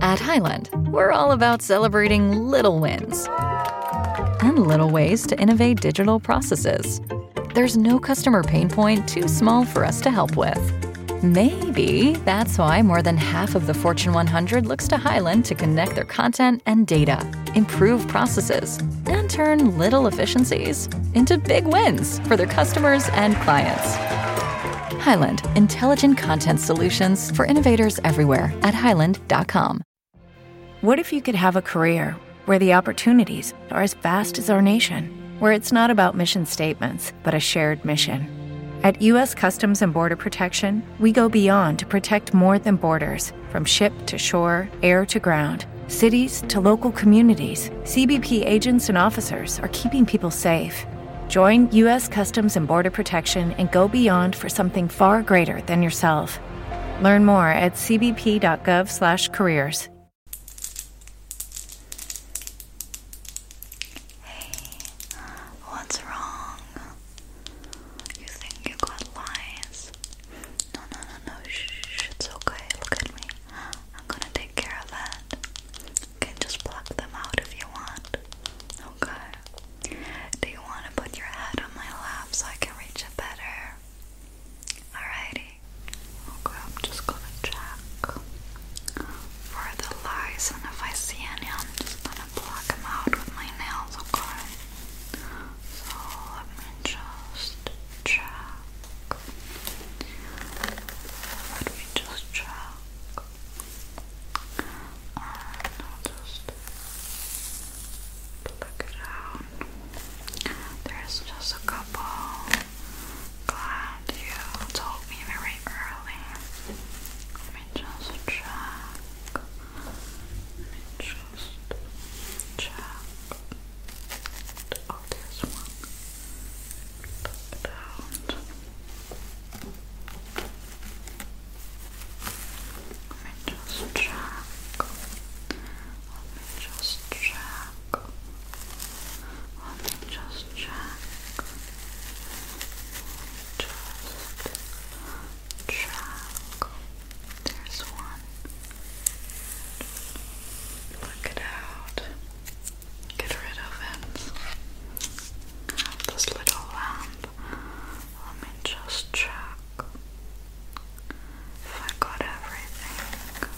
At Highland, we're all about celebrating little wins and little ways to innovate digital processes. There's no customer pain point too small for us to help with. Maybe that's why more than half of the Fortune 100 looks to Highland to connect their content and data, improve processes, and turn little efficiencies into big wins for their customers and clients. Highland, intelligent content solutions for innovators everywhere at highland.com. What if you could have a career where the opportunities are as vast as our nation, where it's not about mission statements, but a shared mission? At U.S. Customs and Border Protection, we go beyond to protect more than borders from ship to shore, air to ground cities to local communities, CBP agents and officers are keeping people safe. Join U.S. Customs and Border Protection and go beyond for something far greater than yourself. Learn more at cbp.gov/careers. Hey, what's wrong? You think you got lies? No, no, no, no. Shh, it's okay. Look at me. I'm gonna take care of it can just pluck them out if you want. Okay. Do you want to put your head on my lap so I can reach it better? Alrighty. Okay, I'm just gonna check for the lice, and if I see any, I'm just gonna pluck them out with my nails, okay? So let me just check. Let me just check. And I'll just it out. There's just a couple. Glad you told me very early. Let me just check. Let me just check. Oh, there's one. Pluck let me just check. Let me just check. Let me just check. Just check. There's one. Look it out. Get rid of it. Have this little lamp. Let me just check if I got everything.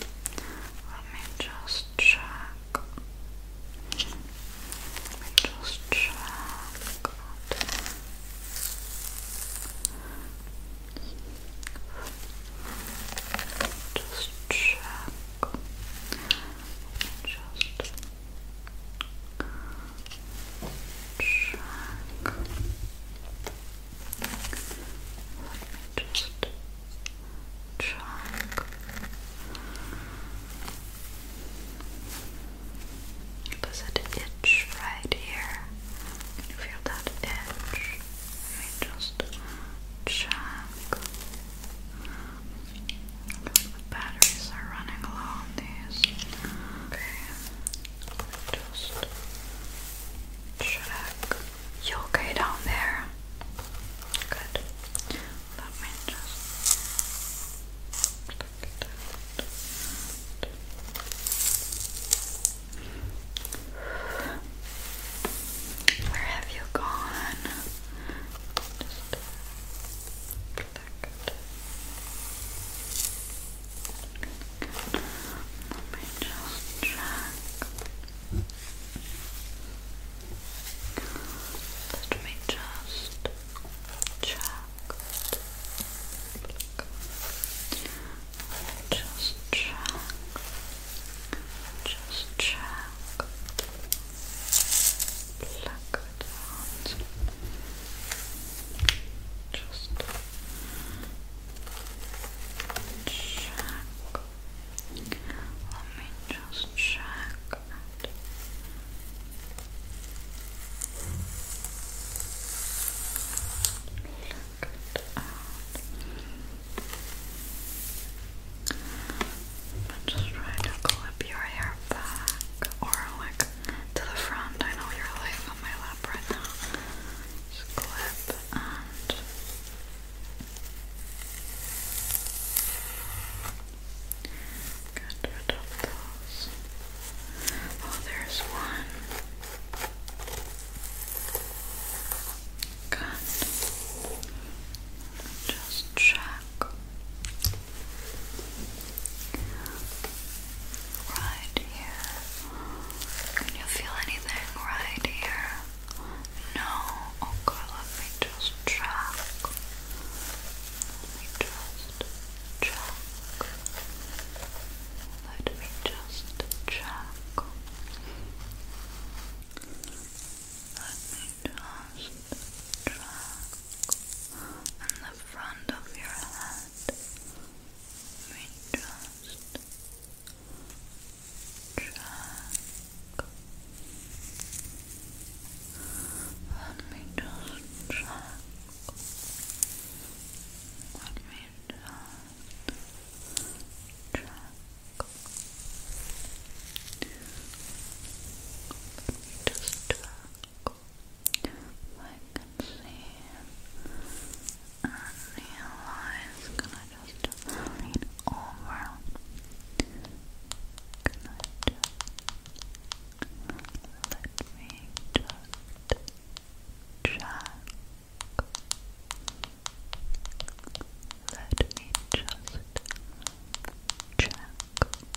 Let me just check. Let me just check. Just check. just check. Let me just check. Does it itch right here? feel that itch? Let me just check because the batteries are running low on these. Okay, just check. You okay down there? Good. Let me just. Where have you gone? that good. good. Let me just check. Let me just check. Just check. Just check pluck it Just check. Let me just check just try to clip your hair back or like to the front. I know you're laying on my lap right now. clip and get rid Oh, there's one. Good. Just check. Right here. Can you feel anything right here? No? Okay, let me just check. Let me just check. Let me just check. Let me just triangle on the front of your just check. Let me just check. Let me just check. Just check. I can see and realize, can I just lean over? Can I just, let me just check let me just check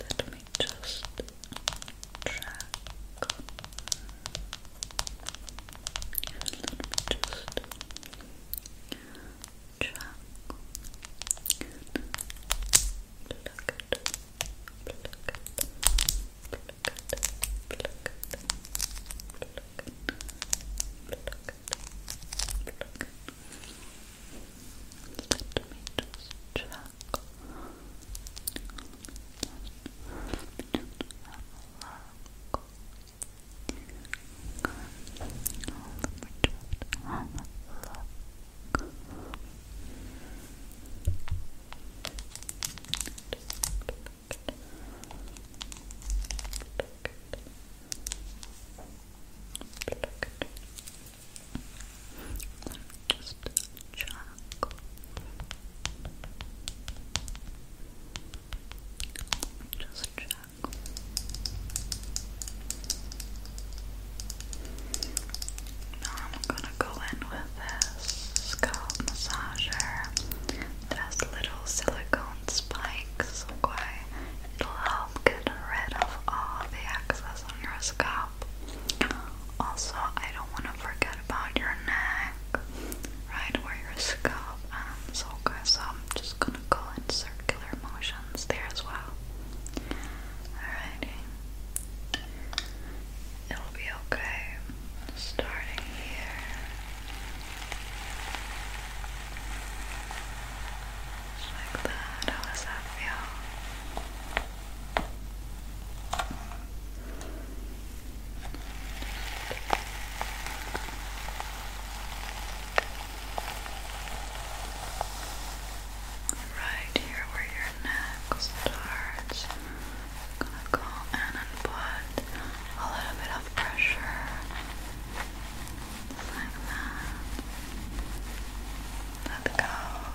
Let me just track. Let me just track. Pluck it. Pluck it. Pluck it. Pluck it. Pluck it. Let me just check. Let me just have a look. let me just have a look. Just chuckle. Just chuckle. Now I'm gonna go in with this scalp massager. It has little silicone spikes, okay? will help get rid of all the excess on your scalp. Also, I don't want to forget about your neck, right where your scalp ends. Um, okay, I'm just gonna go in circular motions there as well. Alrighty, it'll be okay. Starting here. like that. How does that feel? Right here where your neck starts, go and put a little bit of pressure like that. Let go.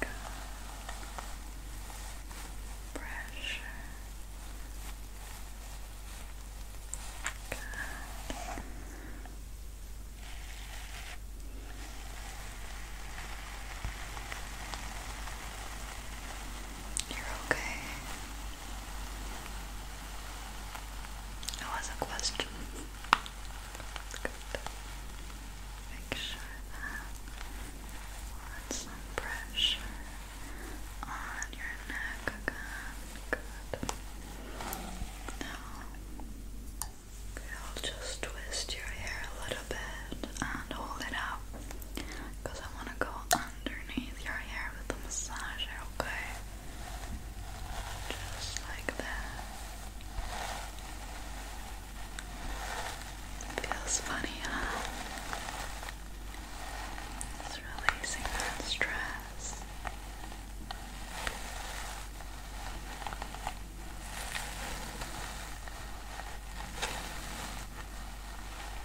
Good. Pressure. Good. You're okay. That was a question. Make sure that we'll some pressure on your neck Good. Now, I'll just twist your hair a little bit and hold it up because I want to go underneath your hair with a massager, okay? Just like that. Feels funny, huh? releasing that stress.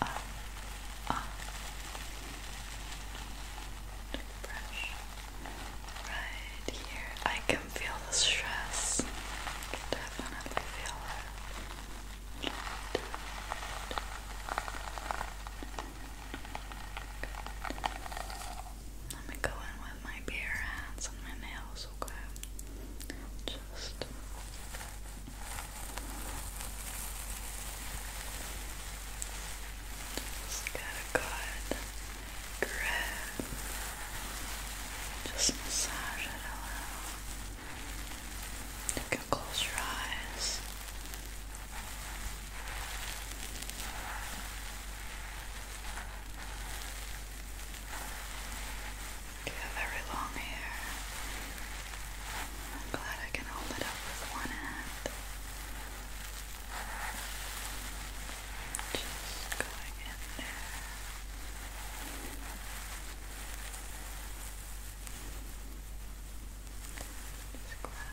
right here. I can feel the stress. definitely feel it. Let me go in with my bare hands and my nails, okay? just get a good grip. Just massage it a little. You can close your eyes. You have very long hair. I'm glad I can hold it up with one hand. Just going in there. Just grab,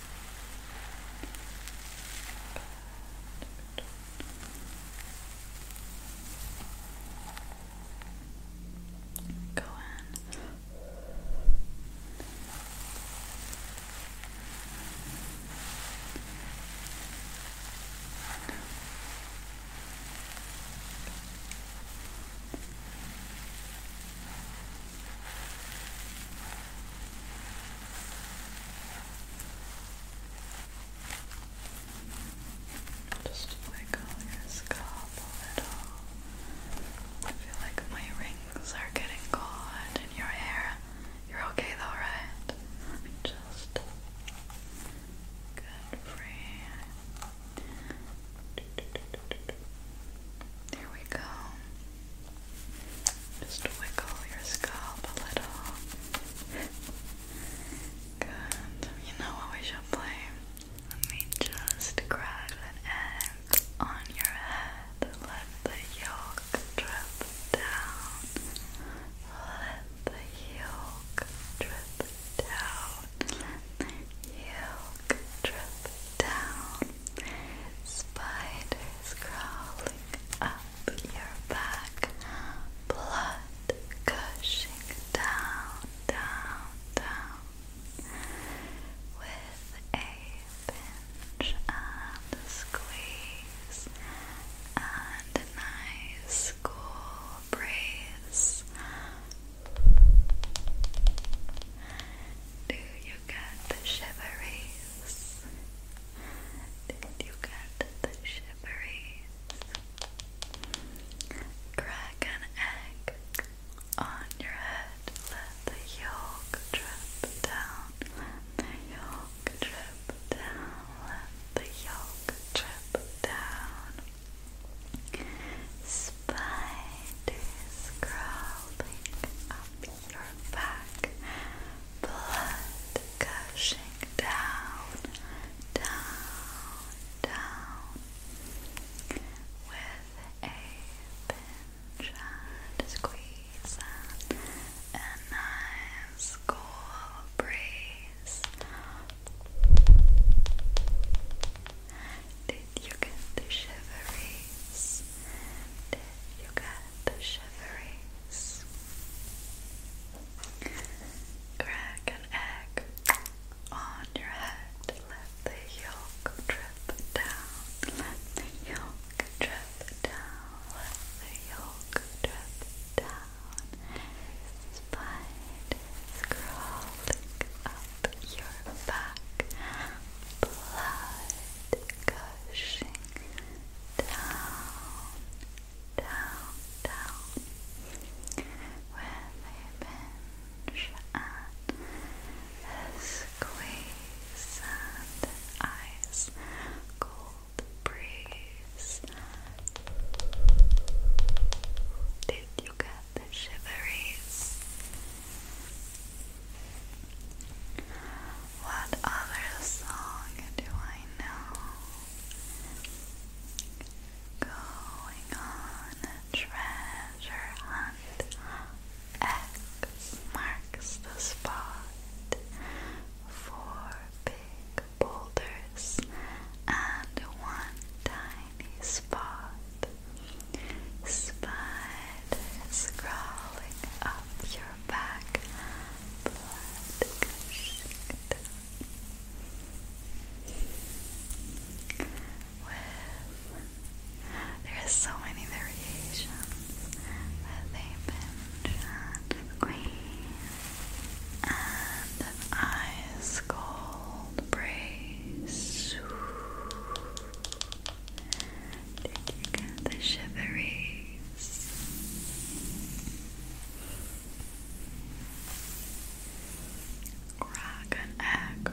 Go in. Good. Just wiggle your scalp a little. I feel like my rings are getting caught in your hair. You're okay though, right? Just good free. Here we go. Just wiggle your scalp a little. Good. You know what we should play? Let me just grab an egg on your head. Let the yolk drip down. Let the yolk drip down. yolk drip down. Spiders crawling up your back, blood gushing down, down, down with a pinch and squeeze and a nice cool breeze. Do you get the shiveries? Did you get the shiveries? Crack an egg on your head. Let the yolk drip down. yolk drip down. Let the yolk drip down. Spiders crawling up your back, blood gushing down, down, down. With a pinch and squeeze and a nice breeze. Did you get the shiveries? Did you get the shiveries. Crack an egg on your head. Let the yolk drip down. the yolk drip down. Let the yolk drip down. Spiders crawling up your back. Blood. Goes Pushing down, down, down with a pinch and squeeze and an cold breeze. Did you get the shiveries? What other song do I know? Going on treasure hunt. X marks the spot. Four big boulders and one tiny spot. Spiders crawling up your back blood gushing there is so many variations that they've been shot. Green and ice cold brace. Did the shiveries? Crack an egg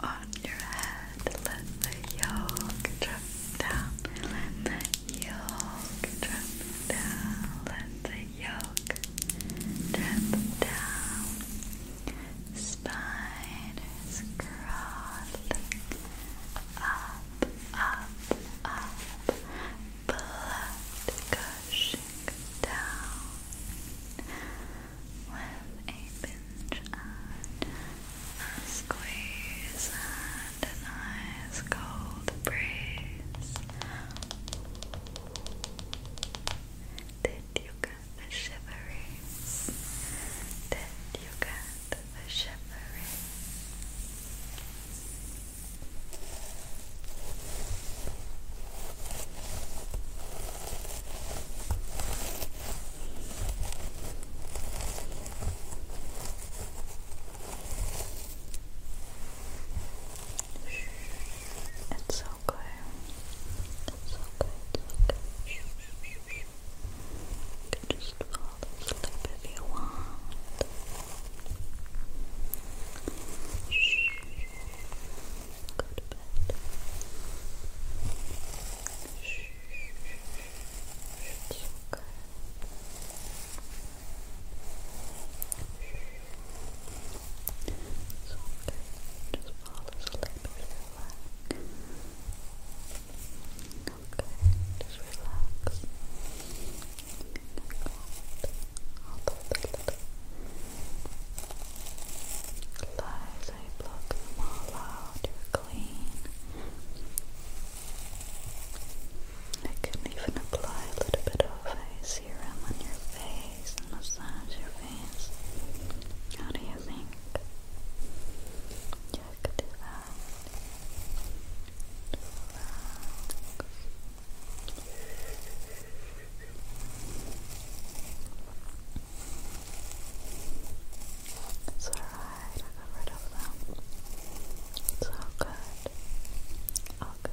on your head. Let the yolk drip down. Let the yolk drip down. Let the yolk drip down. Spiders crawling up up, up, blood gushing down with a pinch and a squeeze and a nice cold breeze. Did you get the shiveries? Did you get for shivering. It's okay. It's It's okay. You can just fall asleep if you want. Shh. Go to bed. Shh. It's okay. It's okay. Just fall asleep if you like just relax. All those little lies, I block them all out. You're clean. I can even apply a little bit of a serum on your face and massage your face. How do you think? Yeah, could do that. It's alright, I got rid of them. It's good. All Good.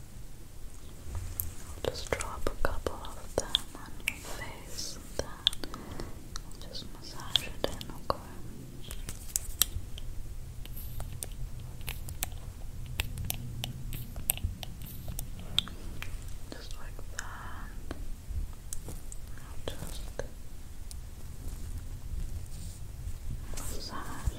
I'll just drop a couple of them on your face and then just massage it in, okay? Just like that. just massage it in.